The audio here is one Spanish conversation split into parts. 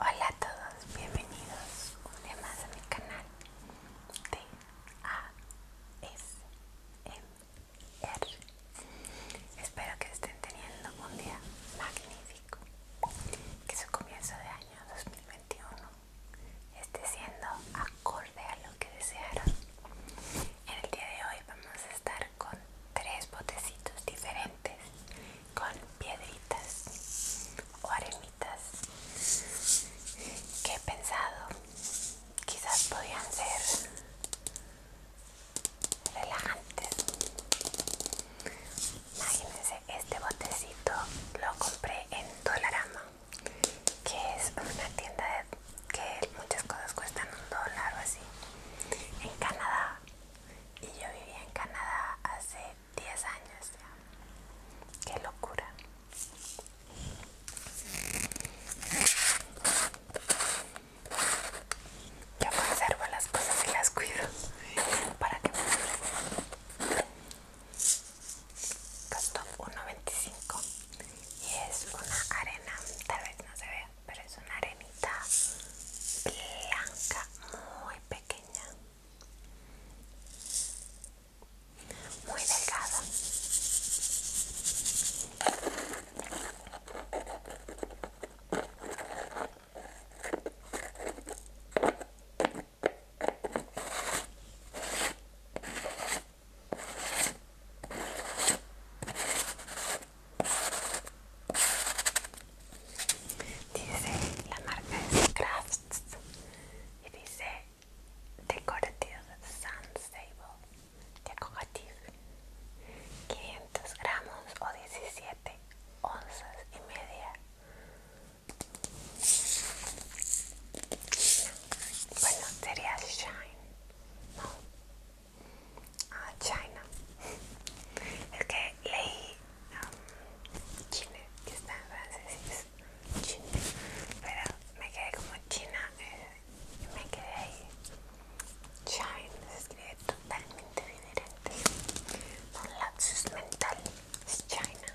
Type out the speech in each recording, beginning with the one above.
Hola a todos, bienvenidos un día más a mi canal de ASMR. Espero que estén teniendo un día magnífico, que su comienzo de año 2021 esté siendo acorde a lo que desearon. En el día de hoy vamos a estar con tres botecitos diferentes con piedritas o aremitas que he pensado quizás podían ser relajantes imagínense este botecito lo compré en Dolarama que es una tienda que muchas cosas cuestan un dólar o así en Canadá y yo vivía en Canadá hace 10 años ya. ¡Qué locura! Yo conservo las cosas y las cuido para que me duren. Costó 1.25 y es una arena, tal vez no se vea, pero es una arena Bianca, blanca muy pequeña muy delgada Dice, la marca Crafts y dice Decorative sunstable Stable Decorative 500 gramos o 17 onzas y media. Bueno, sería Shine, ¿no? Ah, China. Es leí um, China, está en francés es China, pero me quedé como China eh, me quedé China escribe totalmente diferente. Por lapsus mental es China.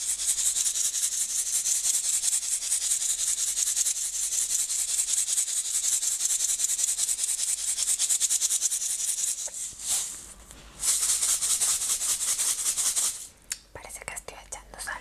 Parece que estoy echando sal.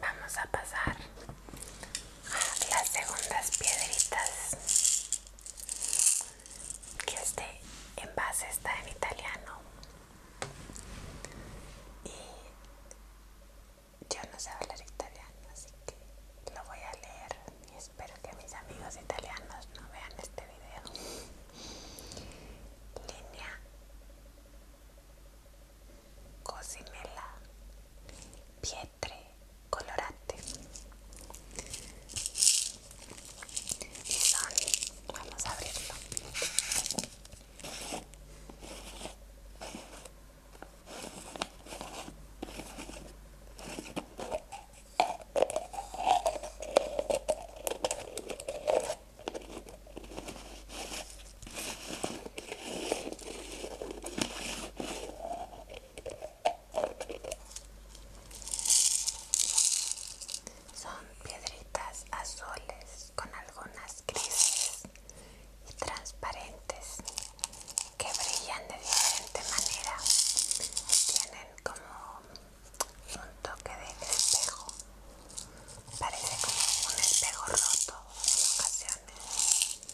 vamos a pasar a las segundas piedritas que este base está en italiano y yo no sé hablar italiano así que lo voy a leer y espero que mis amigos italianos no vean este video línea cocinela, pietre, colorante son, vamos a abrirlo. Son piedritas azules con algunas grises y transparentes que brillan de diferente manera. Tienen como un toque de espejo. Parece como un espejo roto en ocasiones.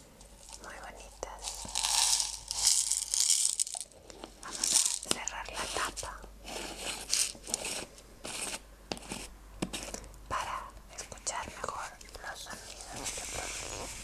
Muy bonitas. Vamos a cerrar la tapa para escuchar mejor los sonidos que produce.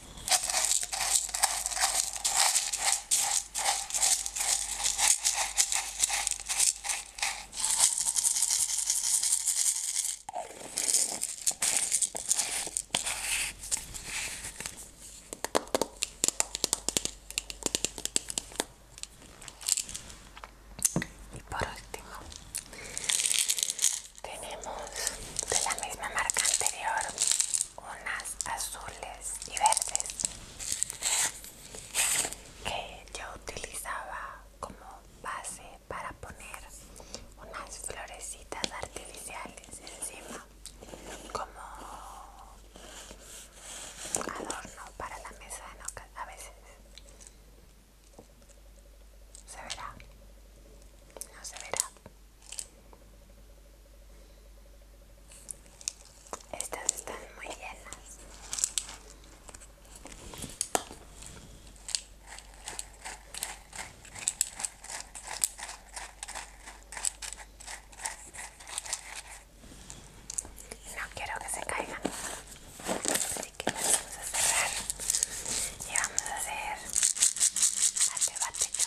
Y por último, tenemos de la misma marca anterior unas azules y verdes que yo utilizaba como base para poner unas florecitas artificiales encima como adorno para la mesa ¿no? a veces se verá no se verá estas están muy llenas. No quiero que se caigan. Así que las vamos a cerrar. Y vamos a hacer bate bate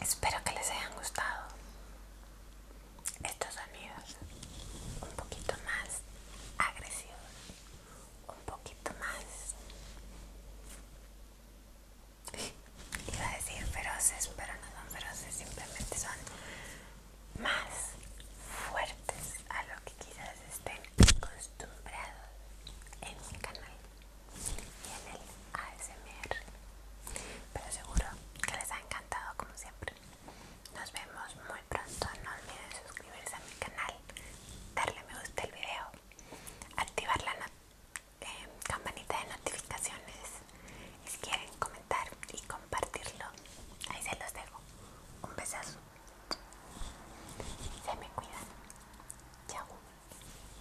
Espero que les hayan gustado estos sonidos un poquito más agresivos, un poquito más iba a decir feroces, pero no son feroces, simplemente son más fuertes a lo que quizás estén acostumbrados en mi canal y en el ASMR. Pero seguro que les ha encantado como siempre. Nos vemos muy pronto. No olviden suscribirse a mi canal, darle me gusta al video, activar la eh, campanita de notificaciones y si quieren comentar y compartirlo, ahí se los dejo. Un besazo. Se me cuidan. Chao.